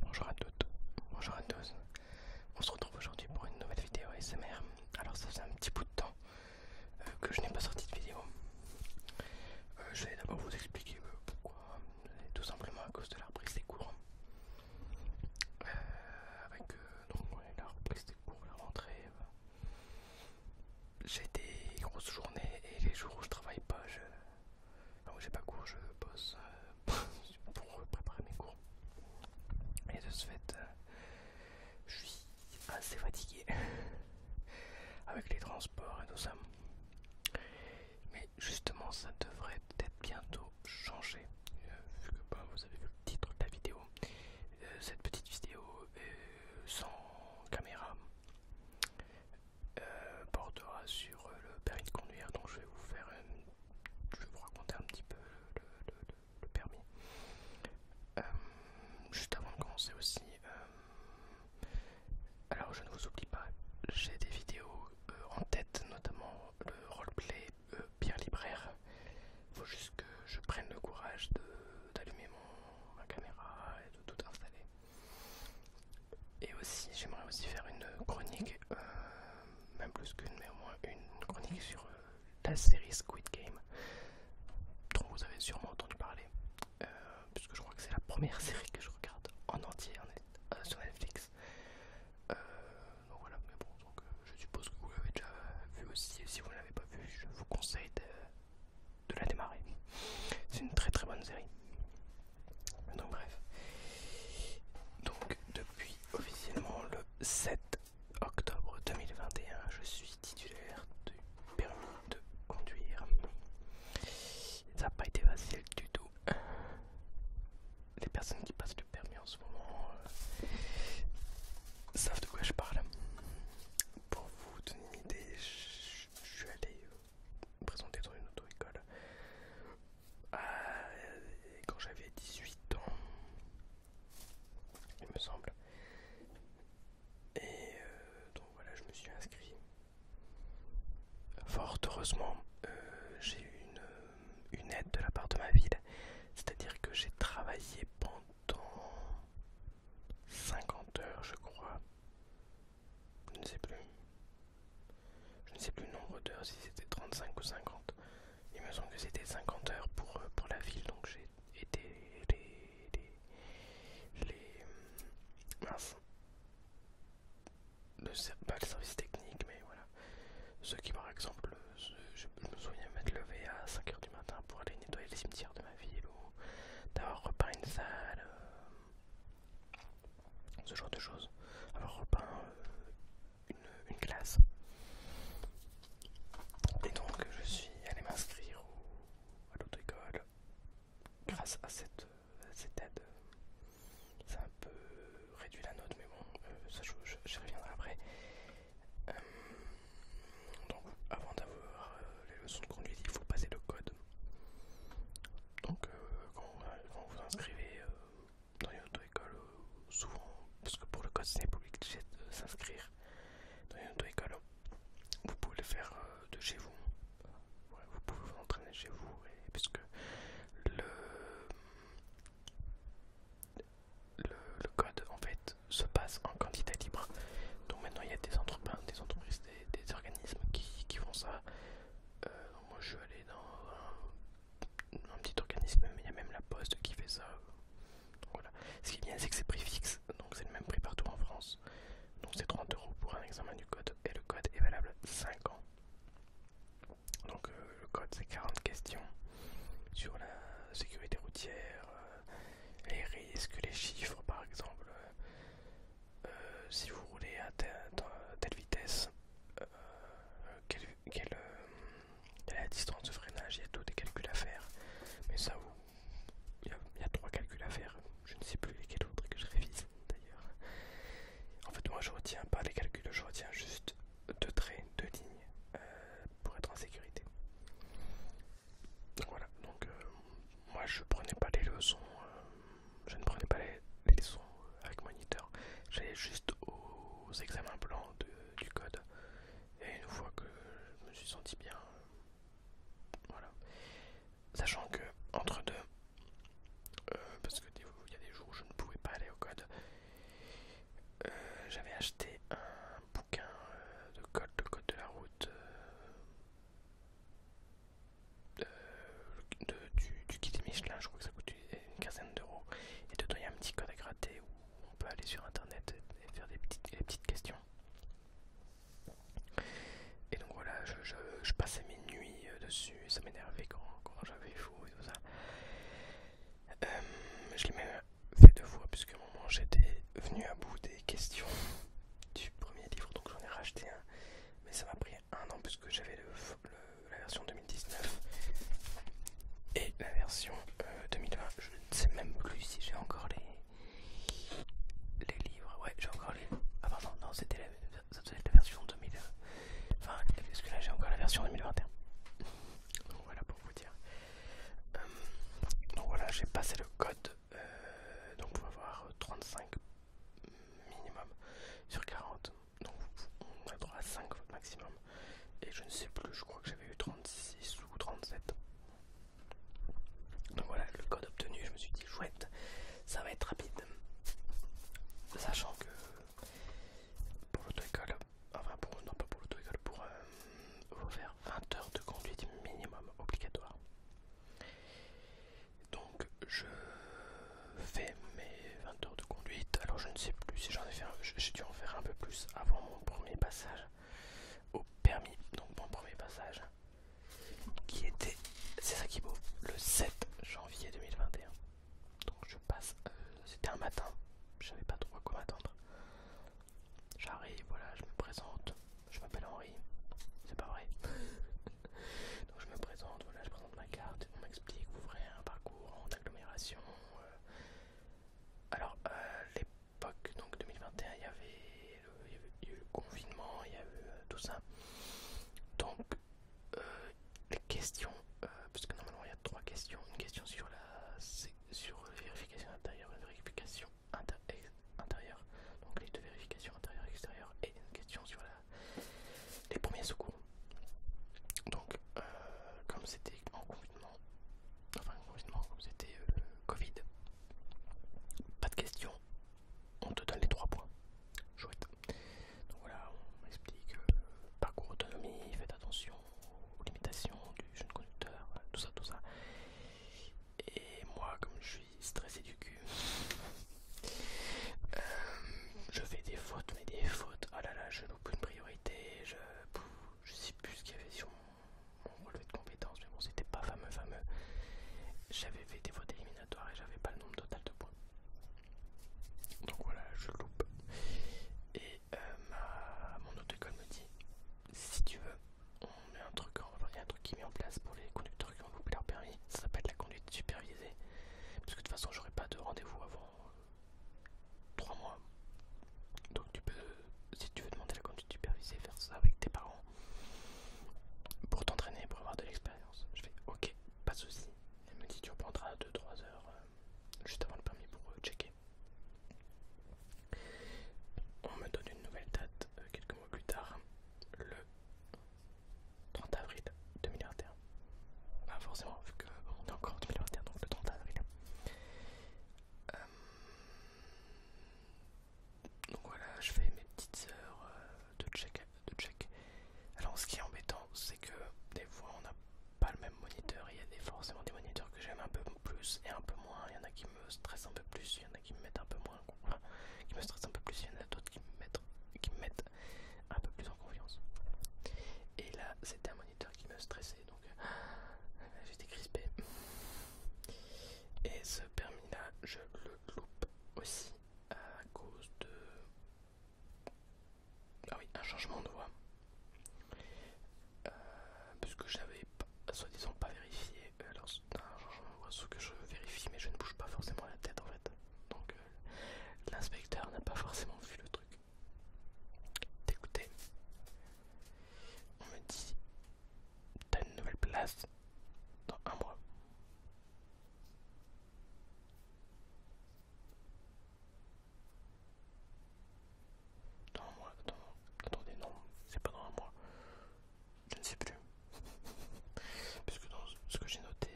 Bonjour à toutes, bonjour à tous. On se retrouve aujourd'hui pour une nouvelle vidéo SMR. Alors ça fait un petit bout de temps euh, que je n'ai pas sorti de vidéo. Euh, je vais d'abord vous expliquer euh, pourquoi. pourquoi. Tout simplement à cause de la reprise des cours. avec la reprise des cours, la rentrée. J'ai des grosses journées et les jours où je travaille pas, je j'ai pas cours je bosse euh, pour préparer mes cours et de ce fait euh, je suis assez fatigué avec les transports et tout ça mais justement ça devrait peut-être bientôt changer euh, vu que ben, vous avez vu le titre de la vidéo cette petite vidéo sans caméra euh, portera sur euh, le permis de conduire. Donc je vais vous faire, je vais vous raconter un petit peu le, permis. Euh, juste avant de commencer aussi, alors je ne vous oublie pas, j'ai des vidéos en tête, notamment le roleplay bien Pierre Libraire. Faut juste que je prenne le courage d'allumer ma caméra et de tout installer. Et aussi, j'aimerais aussi faire une chronique, euh, même plus qu'une, mais au moins une chronique sur euh, la série Squid Game, dont vous avez sûrement entendu parler, euh, puisque je crois que c'est la première série que je regarde en entier sur Netflix. donc voilà, mais bon, donc, je suppose que vous l'avez déjà vu aussi, et si vous ne l'avez pas vu, je vous conseille de la démarrer. C'est une très très bonne série. Donc bref. Donc depuis officiellement le 7 octobre 2021, je suis titulaire du permis de conduire. Ça n'a pas été facile du tout. Les personnes qui passent le permis en ce moment euh, savent de quoi je parle. Pour vous donner une idée, je suis allé présenté dans une auto-école. Euh, quand j'avais 18 ans, il me semble. Et euh, donc voilà, je me suis inscrit. Fort heureusement, euh, j'ai eu une, une aide de la part de ma ville. C'est-à-dire que j'ai travaillé pendant 50 heures, je crois. Je ne sais plus. Je ne sais plus le nombre d'heures, si c'était 35 ou 50. Il me semble que c'était 50 heures pour, euh, pour la ville, donc j'ai été les... les... les euh, mince. pas le service technique, mais voilà. Ceux qui, par exemple, je, me souviens m'être levé à 5h du matin pour aller nettoyer les cimetières de ma ville ou d'avoir repeint une salle. Euh, ce genre de choses, Alors repeint euh, une, classe. Et donc je suis allé m'inscrire à l'auto-école grâce à cette, euh, cette aide. Ça a un peu réduit la note, mais bon, euh, ça je, reviendrai après. donc avant d'avoir les leçons de conduite, il faut passer le code donc, euh, euh, quand, vous vous inscrivez euh, dans une auto-école, souvent, parce que pour le code c'est public, obligé de s'inscrire dans une auto-école, vous pouvez le faire de chez vous. vous pouvez vous entraîner chez vous, puisque le, le, code en fait se passe en candidat libre. Donc maintenant il y a des entreprises, des, des, organismes qui, font ça moi je vais aller dans un, petit organisme, mais il y a même la poste qui fait ça. voilà. Ce qui est bien c'est que c'est prix fixe, donc c'est le même prix partout en France. Donc c'est 30 euros pour un examen du code et le code est valable 5 ans. Donc euh, le code c'est 40 questions sur la sécurité routière, euh, les risques, les chiffres par exemple, euh, si vous roulez à telle vitesse, euh, euh, quelle, est la distance de freinage, il y a tous des calculs à faire. Mais ça, vous, il, y a, trois calculs à faire, je ne sais plus lesquels autres que je révise d'ailleurs. En fait, moi je retiens pas les calculs, je retiens juste deux traits, deux lignes pour être en sécurité. Donc voilà, donc moi je prenais pas les leçons je ne prenais pas les, leçons avec moniteur, j'allais juste aux examens blancs du code. Et une fois que je me suis senti bien, voilà. Sachant que entre deux, euh, parce que il y a des jours où je ne pouvais pas aller au code, euh, j'avais acheté un bouquin euh, de code, le code de la route. Euh, du, guide kit Michelin, je crois que ça coûte une quinzaine d'euros. Et dedans il y a un petit code à gratter où on peut aller sur internet et faire des petites, petites questions. Et donc voilà, je, passais mes nuits euh, dessus, ça m'énervait quand, j'avais fou et tout ça. Euh, je l'ai même fait deux fois puisque au moment j'étais venu à bout des questions du premier livre, donc j'en ai racheté un. Mais ça m'a pris non, an puisque j'avais la version 2019 et la version 2020. Euh, Je ne sais même plus si j'ai encore les, livres. Ouais, j'ai encore les. Ah, pardon, non, c'était la, version 2020. Enfin, euh, parce que là j'ai encore la version 2021. Donc voilà pour vous dire. Hum, donc voilà, j'ai passé le code. Euh, donc vous avoir 35 minimum sur 40 donc on va droit à 5 maximum. Et je ne sais plus, je crois que j'avais eu 36 ou 37. Donc voilà, le code obtenu, je me suis dit chouette, ça va être rapide. Sachant que pour l'auto-école, enfin pour, non pas pour l'auto-école, pour euh, faire 20 heures de conduite minimum obligatoire donc je fais mes 20 heures de conduite. Alors je ne sais plus si j'en ai fait un, j'ai dû en faire un peu plus avant mon premier passage au permis. Donc mon premier passage qui était, c'est ça qui est beau, le 7 janvier 2021. Donc je passe, euh, c'était un matin, je savais pas trop à quoi m'attendre. J'arrive, voilà, je me présente, je m'appelle Henri, c'est pas vrai. donc je me présente, voilà, je ma carte, on m'explique, vous ferez un parcours en agglomération. Euh. Alors, euh, l'époque, donc 2021, il y avait eu le confinement, il y a eu euh, tout ça. Donc, les questions, parce que normalement il y a trois questions. Une question sur la sur vérification intérieure, vérification intérieure, donc les deux vérifications intérieure et extérieure, et une question sur la les premiers secours. Donc, euh, comme c'était en confinement, enfin confinement, comme c'était euh, Covid, pas de question, on te donne les 3 points. Chouette. Donc voilà, on m'explique euh, parcours autonomie, faites attention aux limitations du jeune conducteur, tout ça, tout ça. Et moi, comme je suis stressé du cul, euh, je fais des fautes, mais des fautes. oh là là, je loupe une priorité. Je, sais plus ce qu'il y avait sur mon, relevé de compétences, mais bon, c'était pas fameux, fameux. J'avais fait des fautes éliminatoires et j'avais pas le nombre total de points. Donc voilà, je loupe. Et euh, mon auto-école me dit si tu veux, on met un truc, en, il un truc qui met en place pour les conducteurs qui ont loupé leur permis. Ça s'appelle la conduite superviser supervisé. Parce que de toute façon, j'aurai pas de rendez-vous avant 3 euh, mois. Donc tu peux, si tu veux demander la conduite supervisée, faire ça avec tes parents pour t'entraîner, pour avoir de l'expérience. Je fais ok, pas de souci. Elle me dit tu reprendras 2-3 heures euh, juste avant le permis pour euh, checker. On me donne une nouvelle date quelques mois plus tard, le 30 avril 2021. Bah forcément, vu que est encore en 2021, donc le 30 avril. Euh, donc voilà, je fais mes petites heures euh, de check. De check. Alors ce qui est embêtant, c'est que des fois on n'a pas le même moniteur. Il y a forcément des moniteurs que j'aime un peu plus et un peu moins. Il y en a qui me stressent un peu plus, il y en a qui me mettent un peu moins. qui me stressent un peu plus, il y en a d'autres qui mettent, qui me mettent un peu plus en confiance. Et là, c'était un moniteur qui me stressait, donc j'étais crispé. Et ce permis-là, je le loupe aussi à cause de... Ah oui, un changement de voix. Puisque euh, parce j'avais soi-disant pas vérifié euh, alors un changement de voix, sauf que je vérifie mais je ne bouge pas forcément la tête en fait. Donc euh, l'inspecteur n'a pas forcément vu le truc. D'écouter, on me dit t'as une nouvelle place dans un mois. Dans un mois, attendez, non, c'est pas dans un mois. Je ne sais plus. Puisque dans ce que j'ai noté,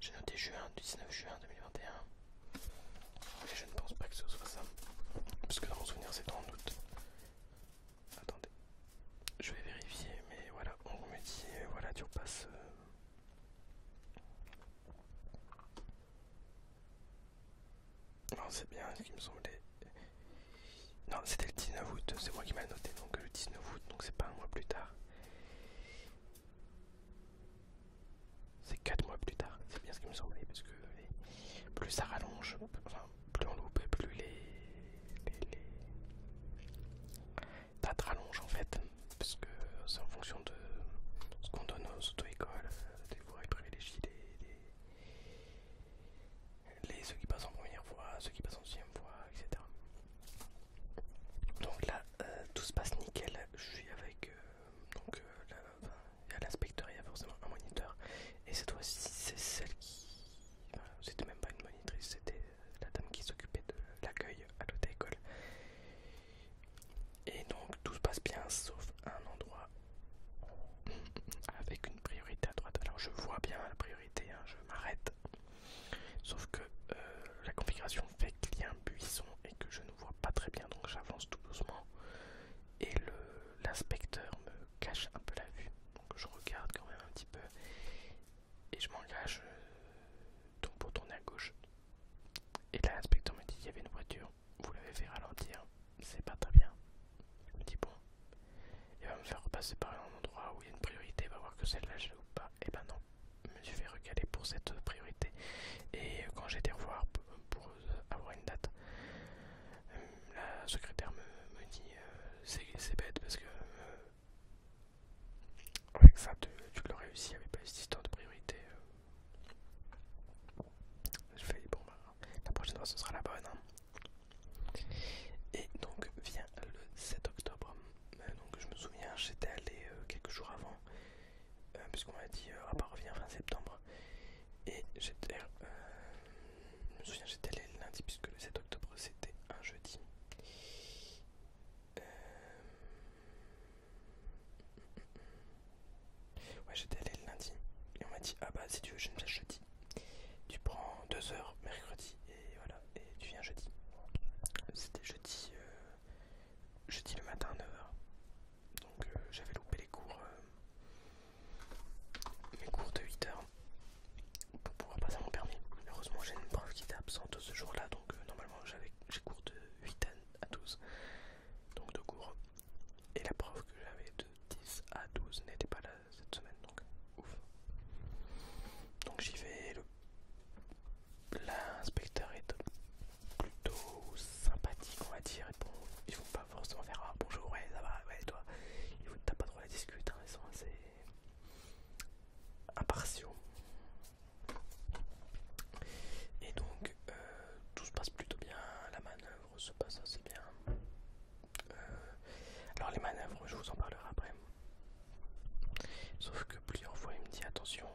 j'ai noté juin, 19 juin 2021. Mais je ne pense pas que ce soit ça. Parce que dans mon souvenir c'est en août. Attendez. Je vais vérifier, mais voilà, on me dit, voilà, tu repasses... Euh. Non, c'est bien ce qui me semblait. Non, c'était le 19 août, c'est moi qui m'a noté, donc euh, le 19 août, donc c'est pas un mois plus tard. C'est 4 mois plus tard, c'est bien ce qui me semblait, parce que plus ça rallonge, enfin, plus on loupe, plus les, les... dates rallongent en fait, parce que c'est en fonction de ce qu'on donne aux auto-écoles, euh, des voies privilégiées, les... ceux qui passent en première fois, ceux qui passent en deuxième fois, etc. Donc là, euh, tout se passe nickel. Je suis avec euh, donc euh, l'inspecteur, il y a forcément un moniteur. Et cette fois-ci, c'est celle qui, c'était même pas une monitrice, c'était la dame qui s'occupait de l'accueil à l'hôtel Et donc tout se passe bien, sauf un endroit avec une priorité à droite. Alors je vois bien la priorité, hein, je m'arrête. Sauf que euh, la configuration fait qu'il y a un buisson et que je ne vois pas très bien, donc j'avance tout doucement. Et l'inspecteur me cache un peu la vue, donc je regarde quand même un petit peu et je m'engage donc pour euh, tourner à gauche. Et là, l'inspecteur me dit il y avait une voiture, vous l'avez fait ralentir, c'est pas très bien. Je me dis bon, il va me faire passer par un endroit où il y a une priorité, va voir que celle-là je ou pas, et eh ben non, je me suis fait recaler pour cette priorité, et quand j'ai été revoir pour euh, avoir une date, euh, la secrétaire me, dit euh, c'est bête parce que avec ça tu, l'aurais réussi, il n'y avait pas cette histoire de priorité. Je fais bon, bah, la prochaine fois ce sera la bonne. Hein. Et donc vient le 7 octobre, euh, donc je me souviens, j'étais allé euh, quelques jours avant, euh, puisqu'on m'a dit on à fin septembre. Et j'étais, me souviens, j'étais allé le lundi, puisque le 7 octobre c'était un jeudi. Ouais, j'étais allé le lundi et on m'a dit Ah bah, si tu veux, je me jeudi. Tu prends 2 heures mercredi et voilà, et tu viens jeudi. C'était jeudi, euh, jeudi le matin à 9h. Donc euh, j'avais loupé les cours, euh, mes cours de 8h pour pouvoir passer mon permis. Heureusement j'ai une prof qui était absente ce jour-là, donc normalement j'ai cours de 8 à 12, donc deux cours. Et la prof que j'avais de 10 à 12 n'était pas là cette semaine, donc ouf. Donc j'y vais l'inspecteur est plutôt sympathique, on va dire. Bon, ils vont pas forcément faire ah, bonjour, ouais, ça va, ouais, toi. Ils vous t'as pas trop la discuter hein, ils sont assez impartiaux. Et donc, euh, tout se passe plutôt bien, la manœuvre se passe assez bien. Euh, alors, les manœuvres, je vous en parlerai après. Sauf que plusieurs fois il me dit attention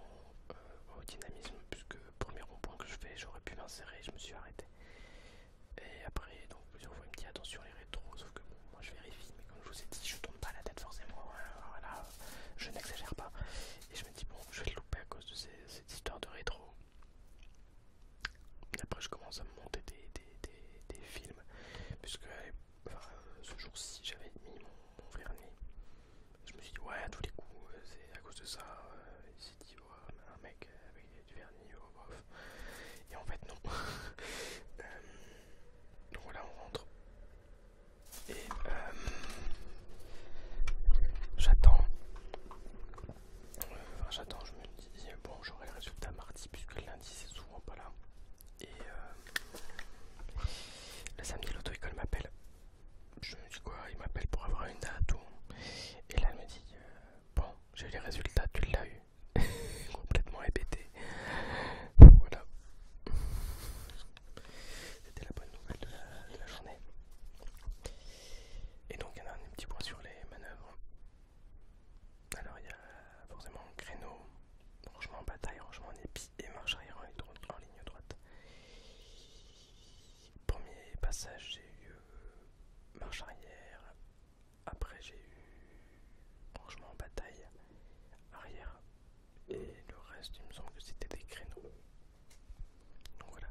euh, au dynamisme puisque premier rond-point que je fais j'aurais pu m'insérer je me suis arrêté. Et après donc plusieurs fois il me dit attention les rétros sauf que moi je vérifie mais comme je vous ai dit je tombe pas la tête forcément hein, voilà je n'exagère pas et je me dis bon je vais le louper à cause de cette histoire de rétro. Et après je commence à me monter des films puisque enfin, euh, ce jour-ci, j'avais mis mon, vernis. Je me suis dit, ouais, à tous les coups, euh, c'est à cause de ça. Euh, il s'est dit, ouais, un mec avec du vernis, oh, bof. Et en fait, non. donc voilà, on rentre. Et j'attends. Enfin, j'attends, je me dis, bon, j'aurai le résultat mardi, puisque lundi, c'est souvent pas là. Et euh, le samedi, l'auto-école m'appelle. Je me dis quoi Il m'appelle pour avoir une date. Et là, elle me dit euh, Bon, j'ai les résultats, tu l'as eu. Complètement hébété. Voilà. C'était la bonne nouvelle de la, de la journée. Et donc, il y en a un petit point sur les manœuvres. Alors, il y a forcément un créneau rangement en bataille, rangement en épi et marche arrière en, ligne, en ligne droite. Premier passage, j'ai eu euh, marche arrière. Après, j'ai eu rangement en bataille arrière. Et le reste, il me semble que c'était des créneaux. Donc voilà.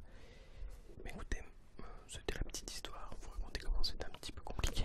Mais écoutez, euh, c'était la petite histoire. Vous racontez comment c'était un petit peu compliqué.